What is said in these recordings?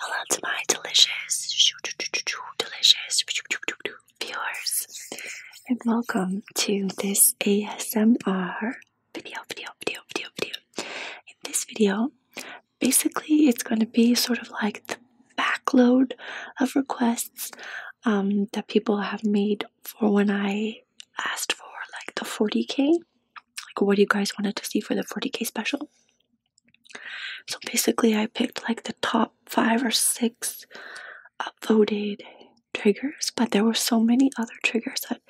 Hello to my delicious, delicious viewers, and welcome to this ASMR video, video, video, video, video. In this video, basically, it's going to be sort of like the backload of requests um, that people have made for when I asked for like the 40k. Like, what do you guys wanted to see for the 40k special? So basically, I picked like the top five or six upvoted triggers, but there were so many other triggers that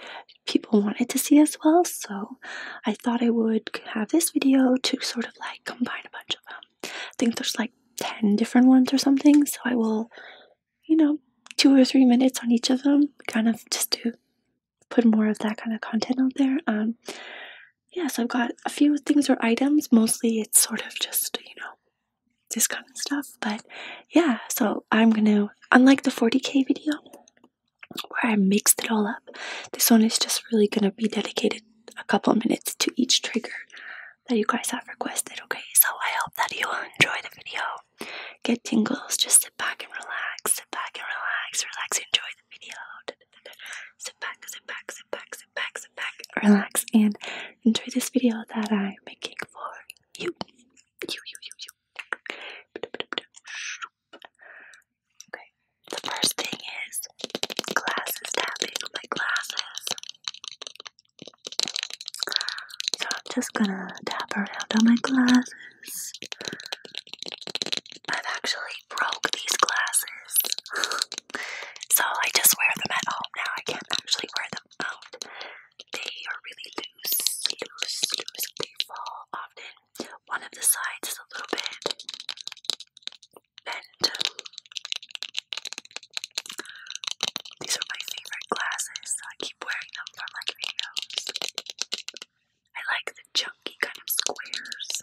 people wanted to see as well. So I thought I would have this video to sort of like combine a bunch of them. I think there's like 10 different ones or something, so I will, you know, two or three minutes on each of them, kind of just to put more of that kind of content out there. Um, yeah, so I've got a few things or items, mostly it's sort of just, you know, this kind of stuff, but yeah, so I'm gonna, unlike the 40k video where I mixed it all up, this one is just really gonna be dedicated a couple minutes to each trigger that you guys have requested, okay? So I hope that you will enjoy the video. Get tingles, just sit back and relax, sit back and relax, relax, enjoy the video. Sit back, sit back, sit back, sit back, sit back, relax, and enjoy this video that I'm making for you. You, you, you, you. Okay, the first thing is glasses tapping my glasses. So I'm just gonna tap around on my glasses. I've actually broke these glasses. so I just wear them at home now. I can't actually wear them out. They are really loose, loose, loose. They fall often. One of the sides is a little bit these are my favorite glasses, I keep wearing them for my videos. I like the chunky kind of squares.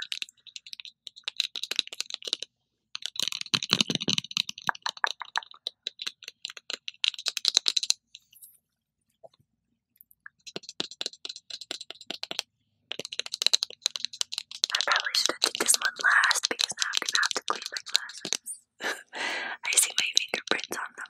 I probably should have did this one last because now I'm gonna have to clean my glasses. I see my fingerprints on them.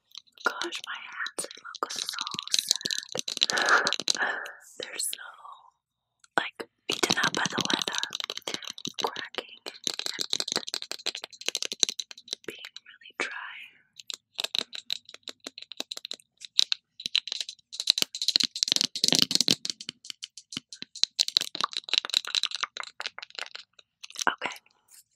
Gosh, my hands look so sad. They're so like eaten up by the weather, cracking being really dry. Okay,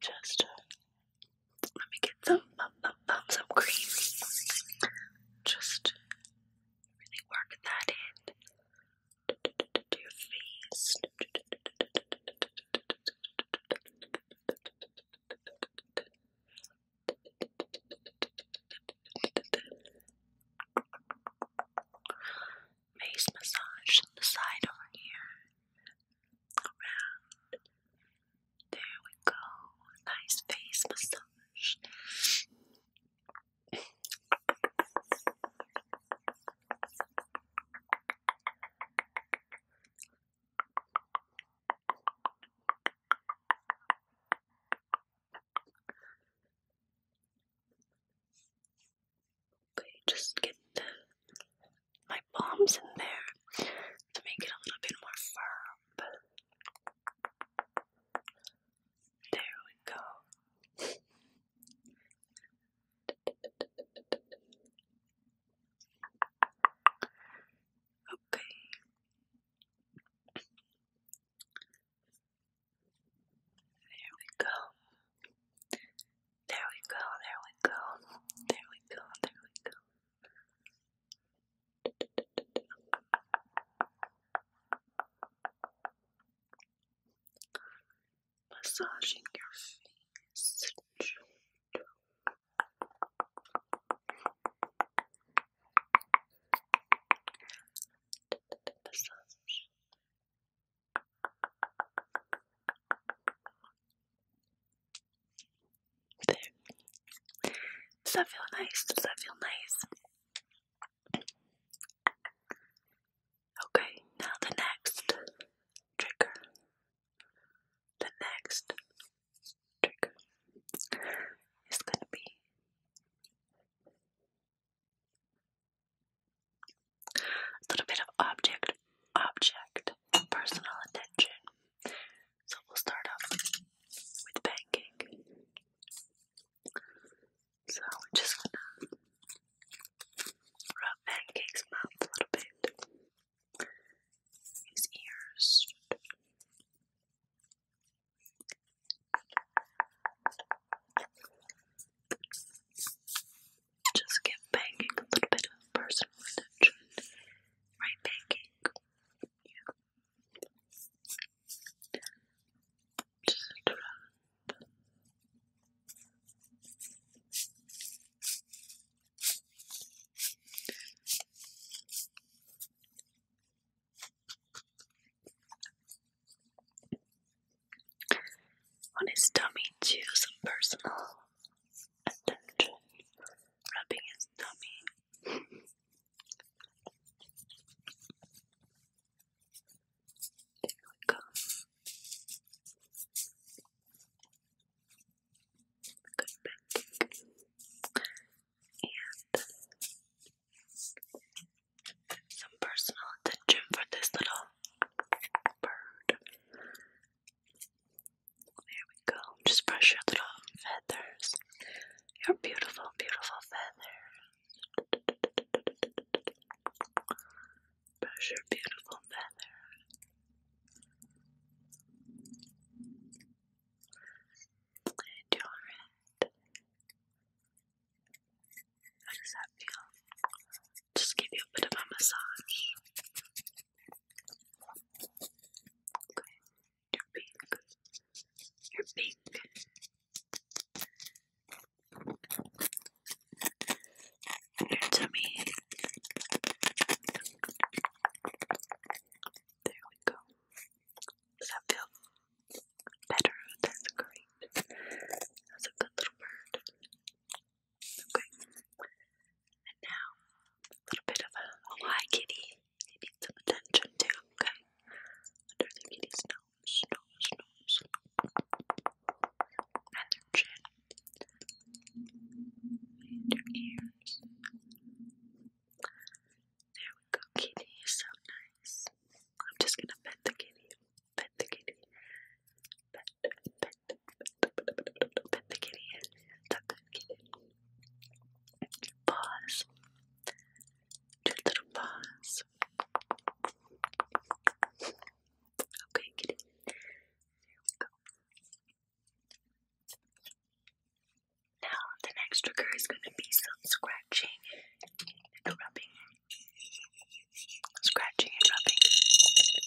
Just uh, let me get some, some, some cream. Just really work that in to your face face massage on the side over here. Around. There we go. Nice face massage. Okay, just get the, my bombs in there to make it a little bit more firm. There we go. Okay. There we go. There we go, there we go, there we go, there we go. Massaging your face. Does that feel nice? Does that feel nice? Okay, now the next trigger. The next trigger is going to be a little bit of object, object, personal attention. So we'll start off with banking. So I'm just gonna rub Pancake's mouth a little bit, his ears just give banging a little bit of personal attention. Right, banking? Yeah. Just drop. On his tummy, chew some personal attention, rubbing his tummy. there we go. Good back. And some personal attention for this little bird. There we go. Just brush your little feathers. Your beautiful, beautiful feathers. Brush your beautiful feathers. And your head. How does that feel? Just give you a bit of a massage. Okay, you're pink. You're pink. Your tummy. There we go. Does that feel better? That's great. That's a good little bird. Okay. And now, a little bit of a, a kitty. He needs some attention too, okay? Under the kitty's nose, nose, nose. And her chin. And her ears. There we go, kitty so nice. I'm just gonna pet the kitty pet the kitty. Pet, pet, pet, pet, pet, pet the kitty. Tuck the kitty. Paws. Two little paws. Okay, kitty. There we go. Now, the next trigger is going to be some scratching and rubbing scratching and rubbing. Just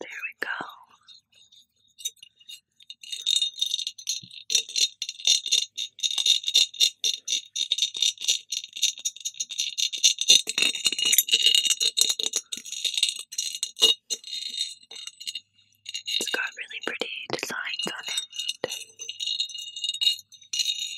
There we go. It's got really pretty designs on it.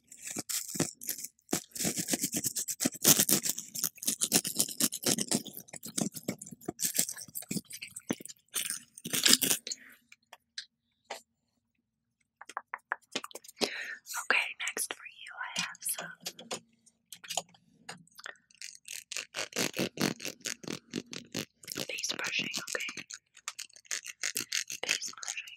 Okay, next for you, I have some. Face brushing, okay. Face brushing.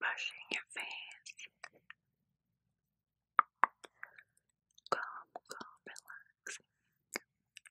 Brushing your face. Calm, calm, relaxing.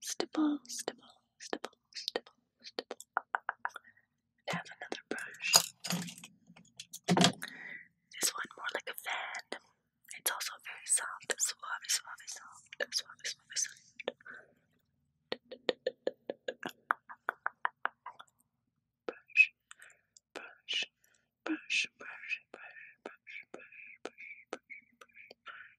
stipple, stipple, stipple, stipple, stipple. have another brush. This one more like a fan. It's also very soft, suave, suave, soft, suave, suave, soft. brush, brush, brush, brush, brush, brush, brush, brush, brush, brush, brush,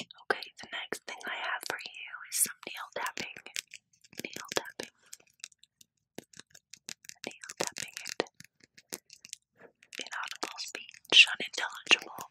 Okay, the next thing I have for you is some nail tapping. Nail tapping. Nail tapping it. Inaudible speech, unintelligible.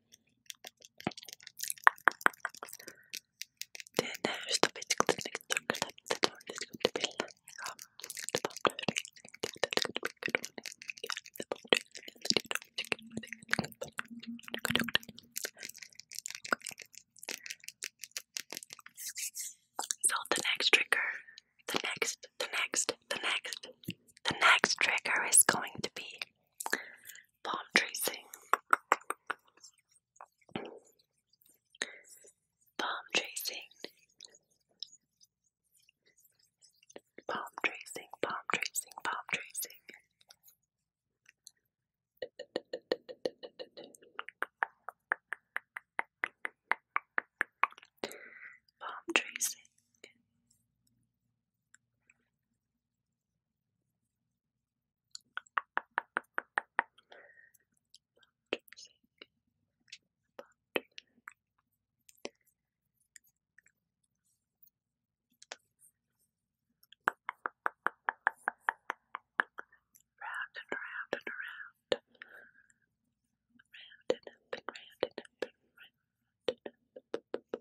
so the next trigger the next the next the next the next trigger is going to be palm tracing, palm tracing, palm tracing, palm tracing, palm tracing. Palm tracing, Round and round and around. Round and up and round and round. Round, round,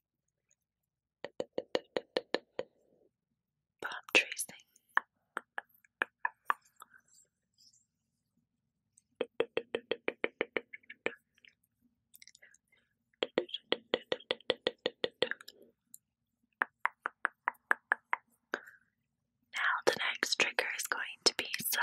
palm tracing. Now the next trigger is going to be some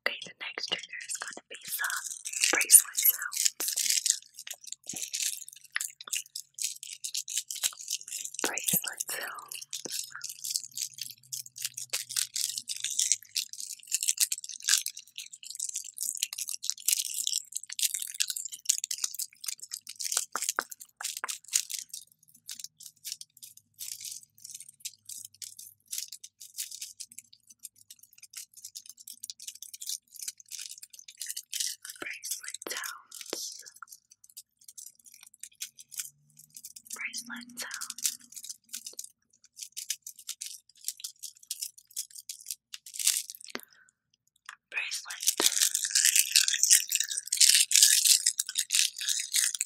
Okay, the next trigger is going to be some bracelet sounds. Bracelet Bracelet sounds. Bracelet sounds. Bracelet.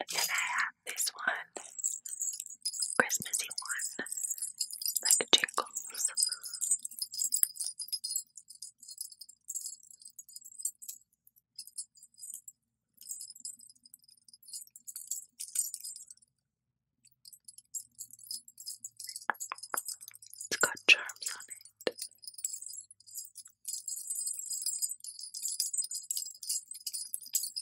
And I have this one, Christmassy one, like jingles. It's got charms on it. Little jar.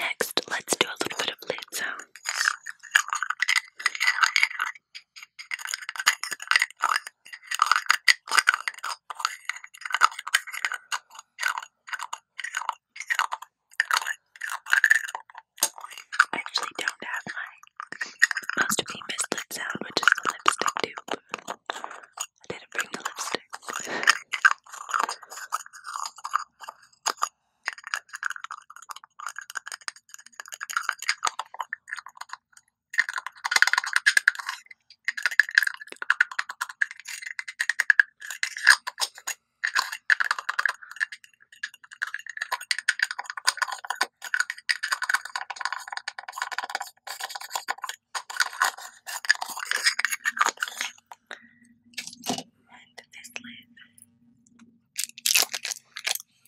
Next, let's do a little bit of lid I actually don't have my most of the mislit sound, which is the lipstick tube. I didn't bring the lipstick. And this lid.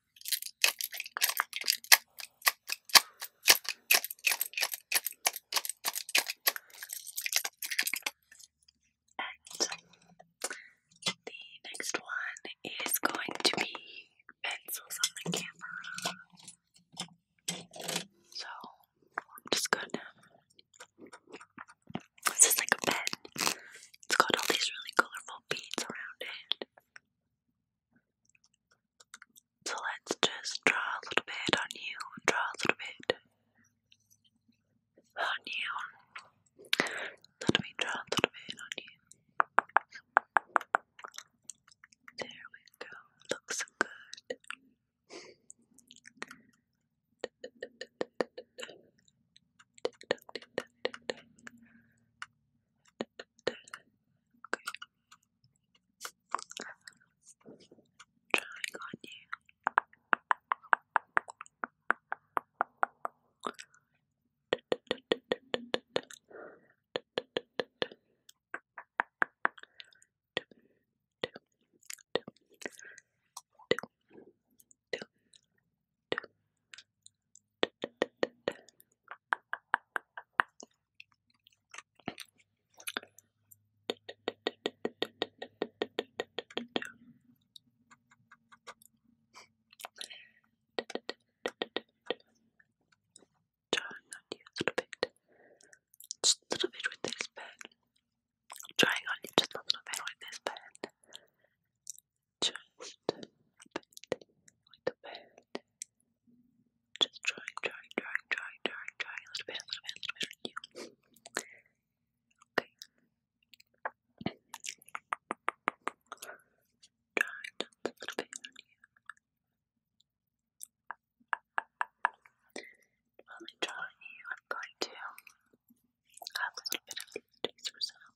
And the next one is going to be pencils on the camera. So I'm just gonna. This is like a pen. It's got all these really colorful beads around it. So let's just draw a little bit on you, draw a little bit on you. Let me draw a little bit on you. There we go. Looks good. Okay. Drawing on you. Drawing on you a little bit, just a little bit with this pen. i on you just a little bit with this pen just a bit with the pen. Just drawing, drawing, drawing, drawing, drawing, drawing a little bit, a little bit, a little bit on you. Okay. Drawing you. I'm going to add a little bit of these for some.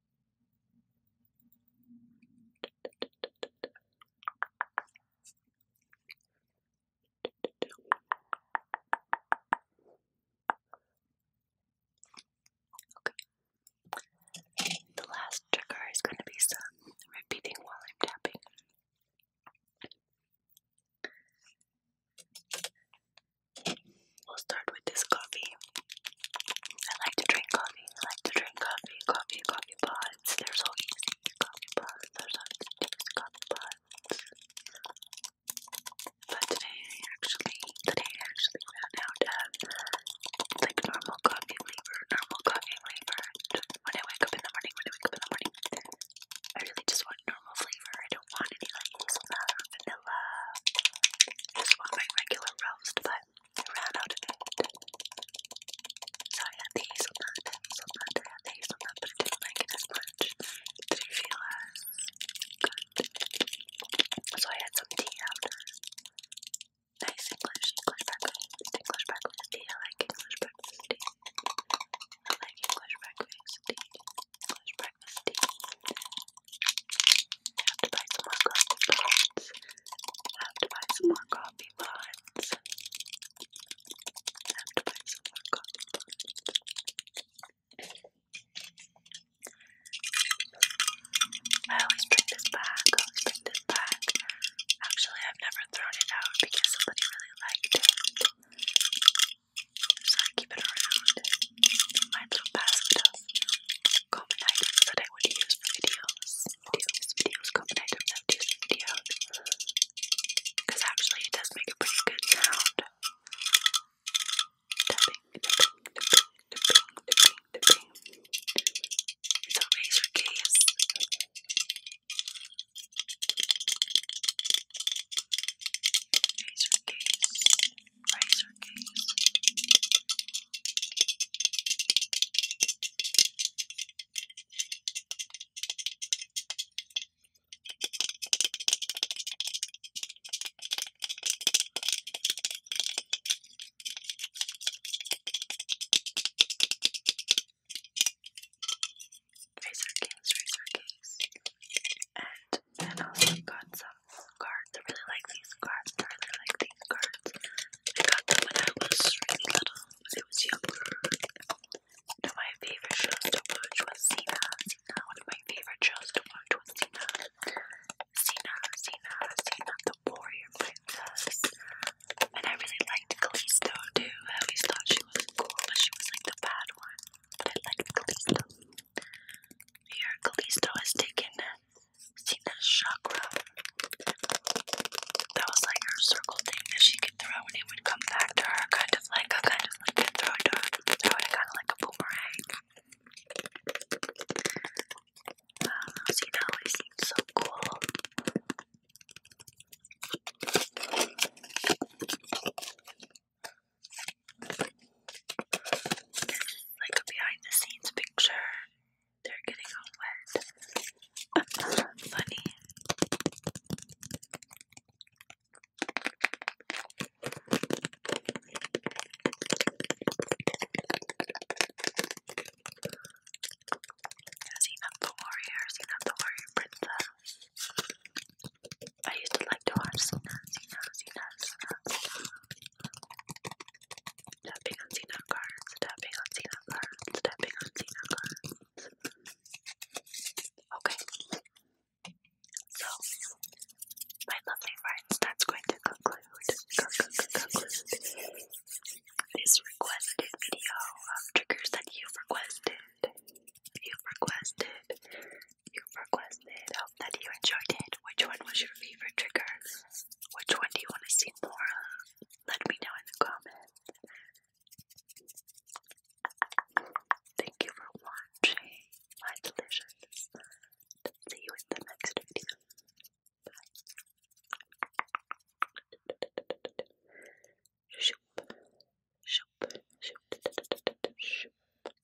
Okay. The last trigger is going to be some repeating while I'm tapping. We'll start with this coffee. I like to drink coffee. I like to drink coffee. Coffee, coffee pods. They're so easy. Coffee pods. They're so easy. Coffee pods. But today, actually, today actually ran out of like normal coffee flavor. Normal coffee flavor. When I wake up in the morning, when I wake up in the morning, I really just want normal flavor. I don't want any like hazelnut or vanilla. I just want my regular roast, but I ran out of it. So I had the hazelnut, hazelnut, I had the hazelnut, but I didn't feel as So I had some tea after. Nice English, breakfast, English breakfast I like English breakfast I like English breakfast English breakfast have to buy some more coffee pots. Have to buy some more coffee pots. Have to buy some more coffee I always bring this back. I always bring this back. Actually, I've never thrown it out because somebody really liked it. So I keep it around my little basket of that I would videos. Videos, videos, common items I videos. Because actually it does make a pretty good sound. Tapping, tapping, razor case. Razor case riser case. Razor case, razor case, and and also got some cards. I really like these cards. I really like these cards. I got them when I was really little. When I was younger. One of my favorite shows to watch was Cena. Cena. One of my favorite shows to watch was Cena. Cena, Cena, Cena, the warrior princess. And I really liked Kalisto too. I always thought she was cool, but she was like the bad one. But I liked Kalisto. Here, Kalisto has taken Sina's chakra. That was like her circle thing that she could throw and it would come back to her, kind of like a kind of like a throw to her, throw kind of like a boomerang. Um, ah, Sina always seemed so cool like a behind the scenes picture. They're getting all wet. Funny. Seen up the warrior, seen up the warrior princess. I used to like to watch Tapping on Xena cards, tapping on Xena cards, tapping on Xena cards. Okay. So, my lovely friends, that's going to conclude, this requested video of triggers that you requested. you requested you requested. Um, that you enjoyed it. Which one was your favorite trigger? Which one do you want to see more of? Let me know in the comments. Thank you for watching, my delicious. See you in the next video. Bye. Shoop. Shoop. Shoop. Shoop.